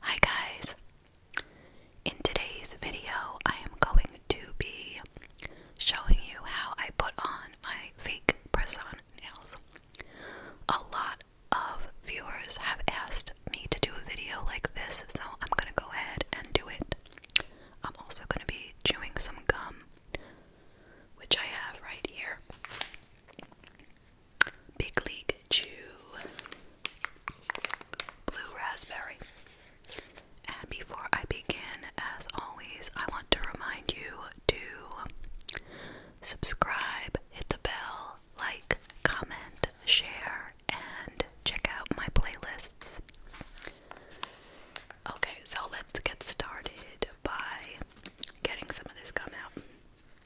Hi guys! In today's video, I am going to be showing you how I put on my fake press on nails. A lot of viewers have asked me to do a video like this, so I'm gonna go ahead and do it. I'm also gonna be chewing some gum, which I have right here. Big League Chew, Blue Raspberry. And before I begin, as always, I want to remind you to subscribe, hit the bell, like, comment, share, and check out my playlists. Okay, so let's get started by getting some of this gum out.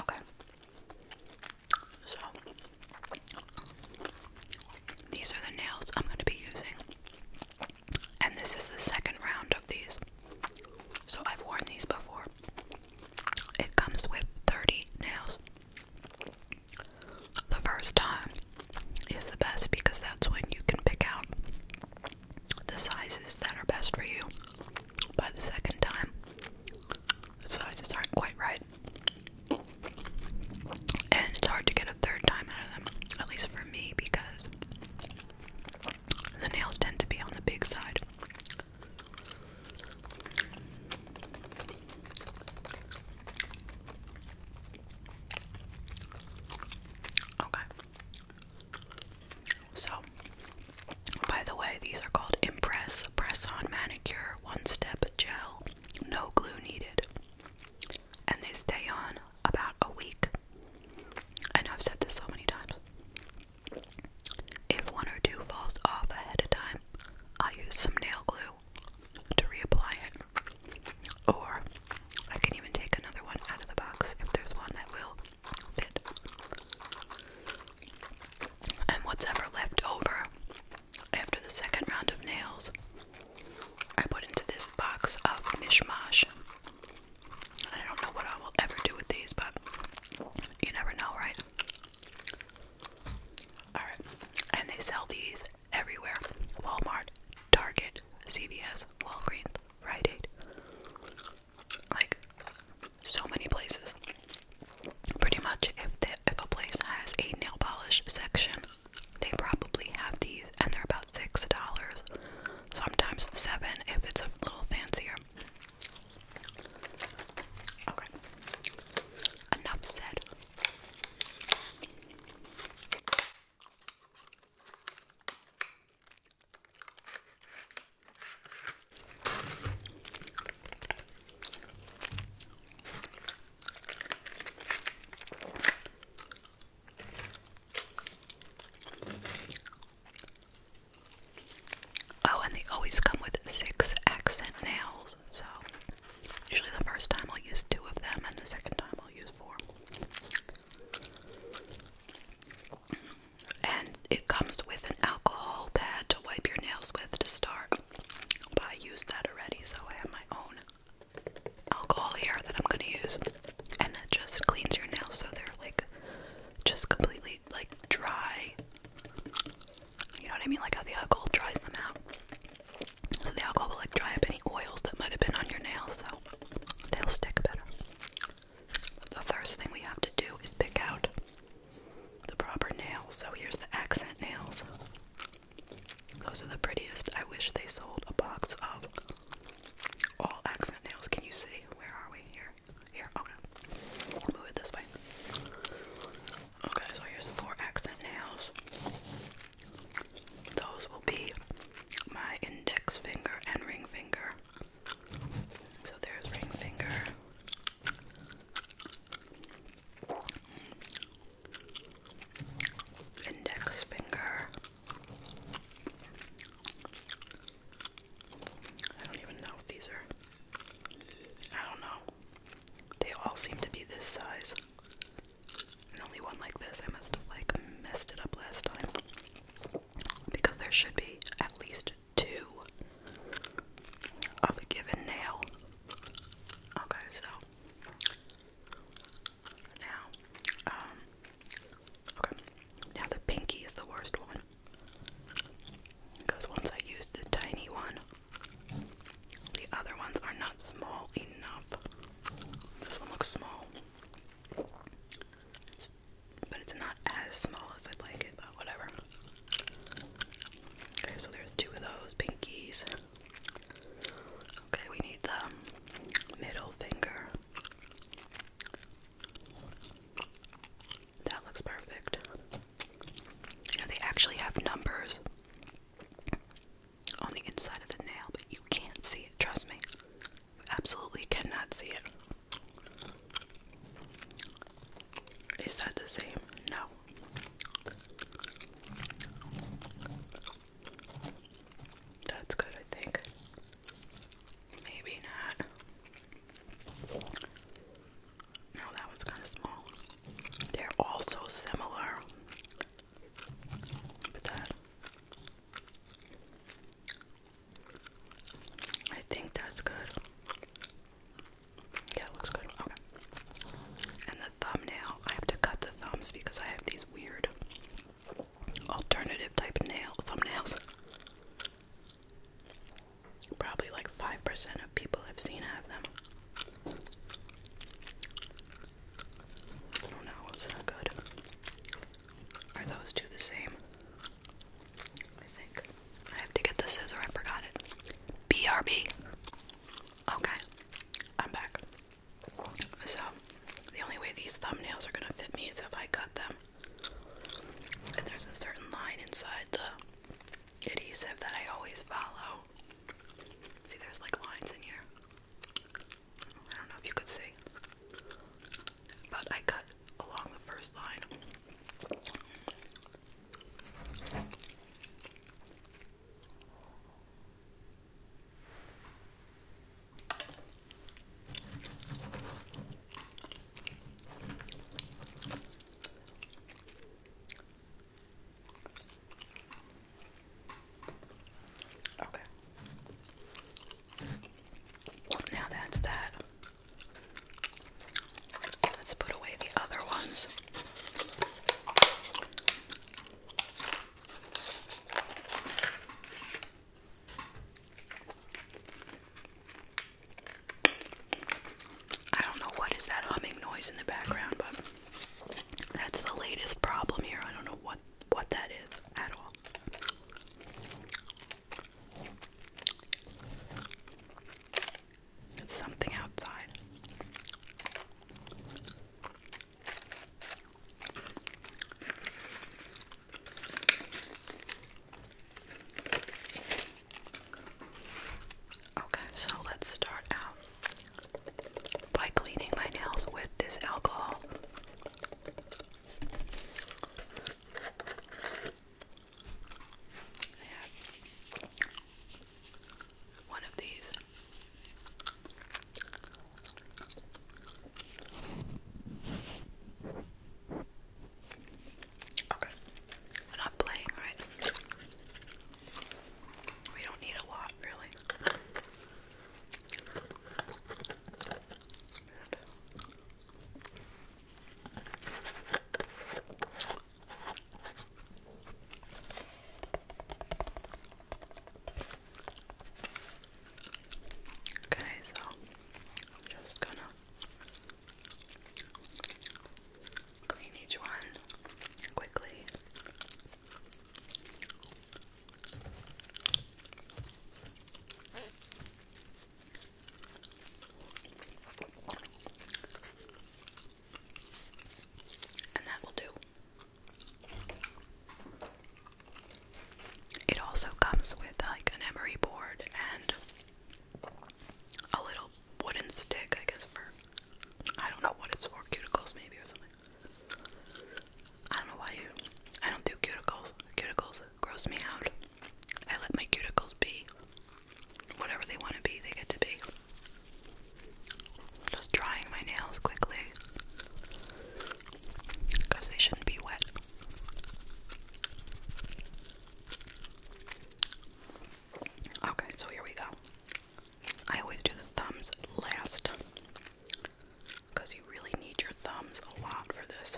Okay. So these are the nails I'm going to be using. And this is the second round of these. So I've worn these before. It comes with 30 nails. The first time is the best because that's when you can pick out the sizes that are best for you by the second time. The sizes aren't quite right. And it's hard to get a third time out of them, at least for me, because the nails tend to be on the big side. Okay. So, by the way, these are called Impress Press On Manicure One Step Gel. No glue needed. And they stay on about a week. I know I've said this so many times. If one or two falls off ahead of time, I'll use some nail glue to reapply it. Or I can even take another one out of the box if there's one that will and what's ever left over after the second round of nails, I put into this box of mishmash. I don't know what I will ever do with these, but you never know, right? Alright, and they sell these everywhere Walmart, Target, CVS, Walgreens. Rite Like so many places. Pretty much if the, if a place has a nail polish section, they probably have these and they're about six dollars. Sometimes seven if it's a little fancier. Okay. Enough said. Oh, and they always come with six accent nails, so usually the first time I'll use two of them, and the second time I'll use four. And it comes with an alcohol pad to wipe your nails with to start. But I used that already, so I have my own alcohol here that I'm gonna use. And that just cleans your nails so they're like just completely like dry. You know what I mean? Like how the alcohol dries them out. So the alcohol will like dry up any oils that might have been on your nails. So they'll stick better. The first thing we have to do is pick out the proper nails. So here's the accent nails. Those are the prettiest. I wish they sold a box of all accent nails. Can you see? Where are we? Here. Here. Okay. Move it this way. Okay, so here's the four accent nails. Those will be my index finger and ring finger. So there's ring finger. Index finger. I don't even know if these are. I don't know. They all seem to be this size only one like this. I must have like messed it up last time because there should be at least two of a given nail. Okay, so now, um, okay, now the pinky is the worst one because once I used the tiny one, the other ones are not small enough. This one looks small. but it's not as small as I'd like it, but whatever. Okay, so there's two of those pinkies. Okay, we need the middle finger. That looks perfect. You know, they actually have numbers on the inside of the nail, but you can't see it, trust me. You absolutely cannot see it. Is that the same? No. That's good, I think. Maybe not. No, that one's kind of small. They're all so similar. I think that's good. Yeah, looks good. Okay. And the thumbnail, I have to cut the thumbs because I have these weird alternative type nail thumbnails. Probably like 5% of people I've seen have them. Oh no, was that good? Are those two the same? I think. I have to get the scissor, I forgot it. BRB. Okay, I'm back. So, the only way these thumbnails are gonna fit me is if I cut them. And there's a certain line inside the adhesive that I always follow. See, there's like lines in here. I don't know if you could see, but I cut along the first line. Okay. Now that's that. Let's put away the other ones. I don't know what is that humming noise in the background, but that's the latest problem here. I don't know what what that is at all. It's something outside. Okay, so let's start out by cleaning my nails with this alcohol. one of these. Okay. We're not playing, right? We don't need a lot, really. Okay, so I'm just gonna clean each one quickly. And that will do. It also comes with like an emery board and a little wooden stick, I guess, for I don't know what it's for, cuticles maybe or something. I don't know why you I don't do cuticles. Cuticles gross me out. I let my cuticles be. Whatever they want to be, they get to be. Just drying my nails quickly. Because they shouldn't be wet. Okay, so here we go. I always do the thumbs last because you really need your thumbs a lot for this.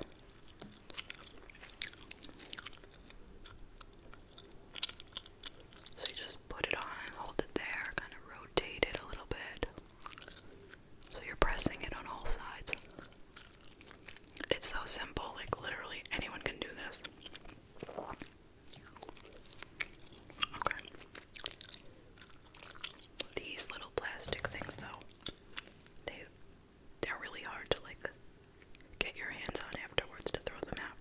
So you just put it on, hold it there, kind of rotate it a little bit. So you're pressing it on all sides. It's so simple, like literally anyone can do this. These little plastic things though, they they're really hard to like get your hands on afterwards to throw them out.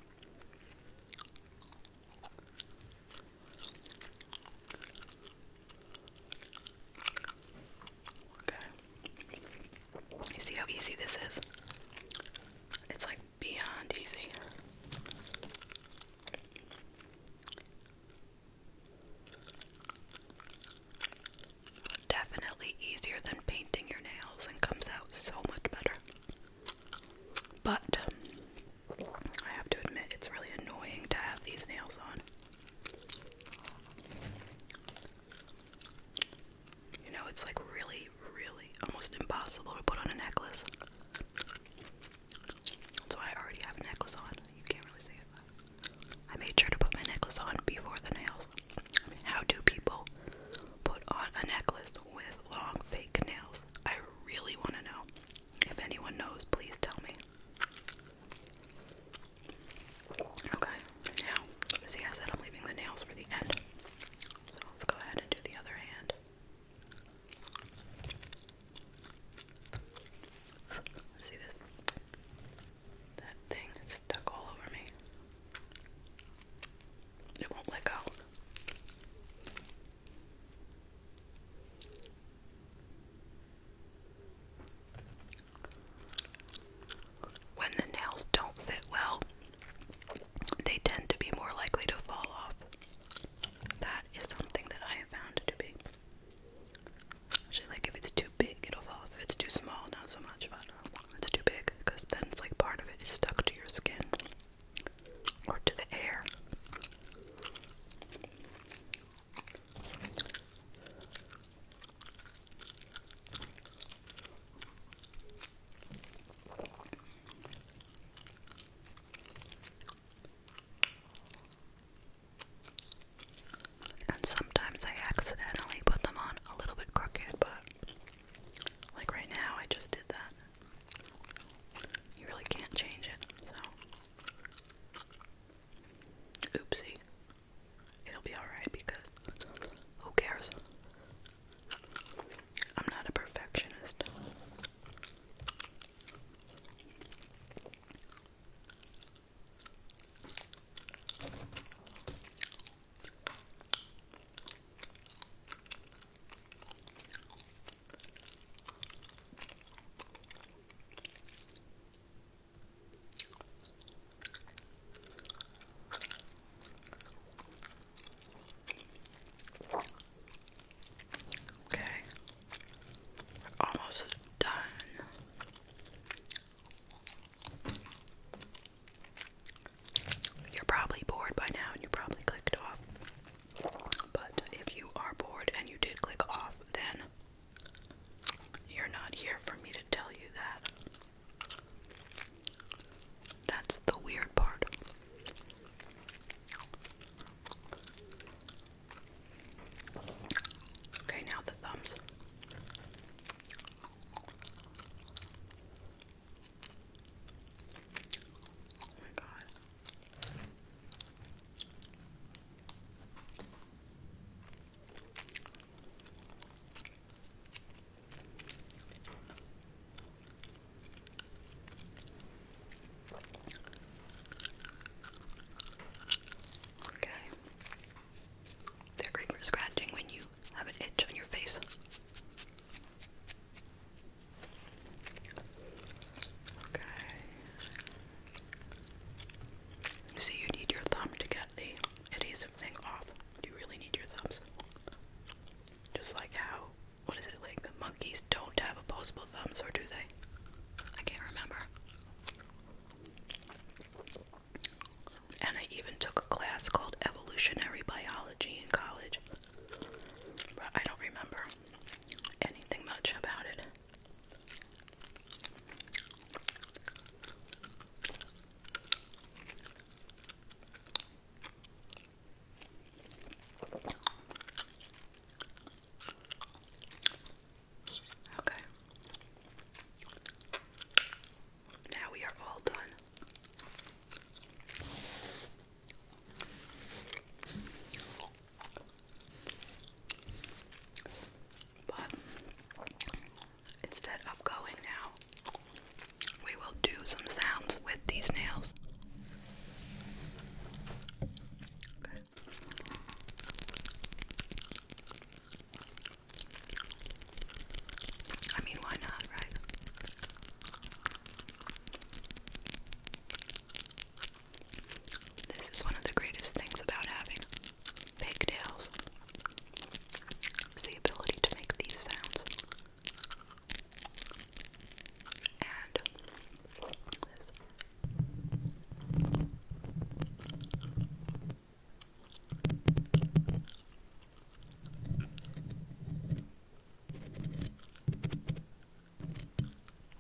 Okay. You see how easy this is? It's like beyond easy. Definitely easier than painting your nails and comes out so much better. But I have to admit, it's really annoying to have these nails on. You know, it's like really, really almost impossible to put on a necklace. So I already have a necklace on. You can't really see it. I made sure to put my necklace on before the nails. I how do people put on a necklace with long fake nails? I really want to know. If anyone knows, please tell me. Okay, now, see, I said I'm leaving the nails for the end. So let's go ahead and do the other hand. See this? That thing is stuck all over me. It won't let go. When the nails don't fit well, they tend to be more likely to fall off. That is something that I have found to be. Actually, like if it's too big, it'll fall off. If it's too small, not so much, but if um, it's too big, because then it's like part of it is stuck to your skin or to the air. And sometimes I accidentally put them on a little bit crooked, but like right now, I just did that. You really can't change it, Oopsie it'll be alright because who cares? I'm not a perfectionist. Okay, we're almost done. You're probably bored by now and you probably clicked off. But if you are bored and you did click off, then you're not here for me to tell you that. That's the weird part. Okay, now the thumbs. Oh my god. Okay. They're great for scratching when you have an itch on your face. Okay. See, you need your thumb to get the adhesive thing off. You really need your thumbs. Just like how, what is it, like monkeys don't have opposable thumbs, or do they? I can't remember. And I even took a class called Evolutionary Biology in college, but I don't remember anything much about it. Okay. Now we are all done. But instead of going now, we will do some sounds with these nails. I mean, why not, right? This is one of the greatest things about having pigtails the ability to make these sounds. And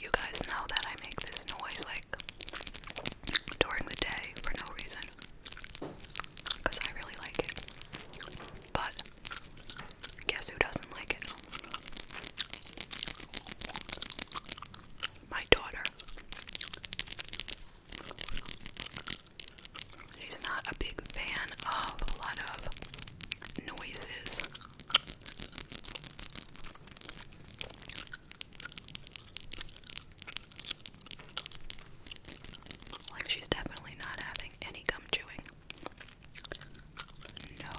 you guys know that I make this noise like during the day for no reason because I really like it. But guess who doesn't like it? My daughter. She's not a big fan of a lot of noises. Like, she's definitely not having any gum chewing. No.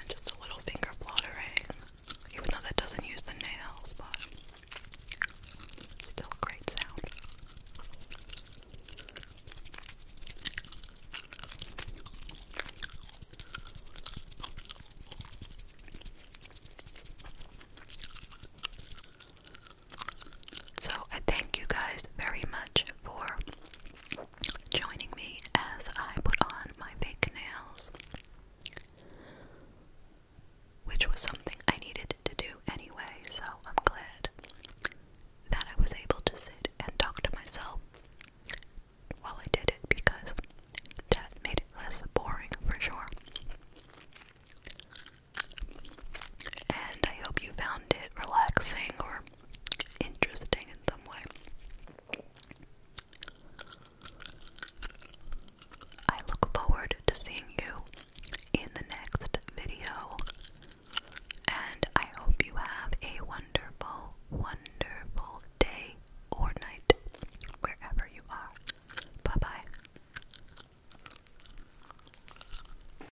And just a little finger fluttering, even though that doesn't use the nails, but still great sound. So, I thank you guys very much for joining me as I put on my fake nails, which was something I needed to do anyway, so I'm glad that I was able to sit and talk to myself while I did it because that made it less boring for sure. And I hope you found it relaxing or interesting in some way. I look forward to seeing you in the next video, and I hope you have a wonderful, wonderful day or night wherever you are. Bye bye.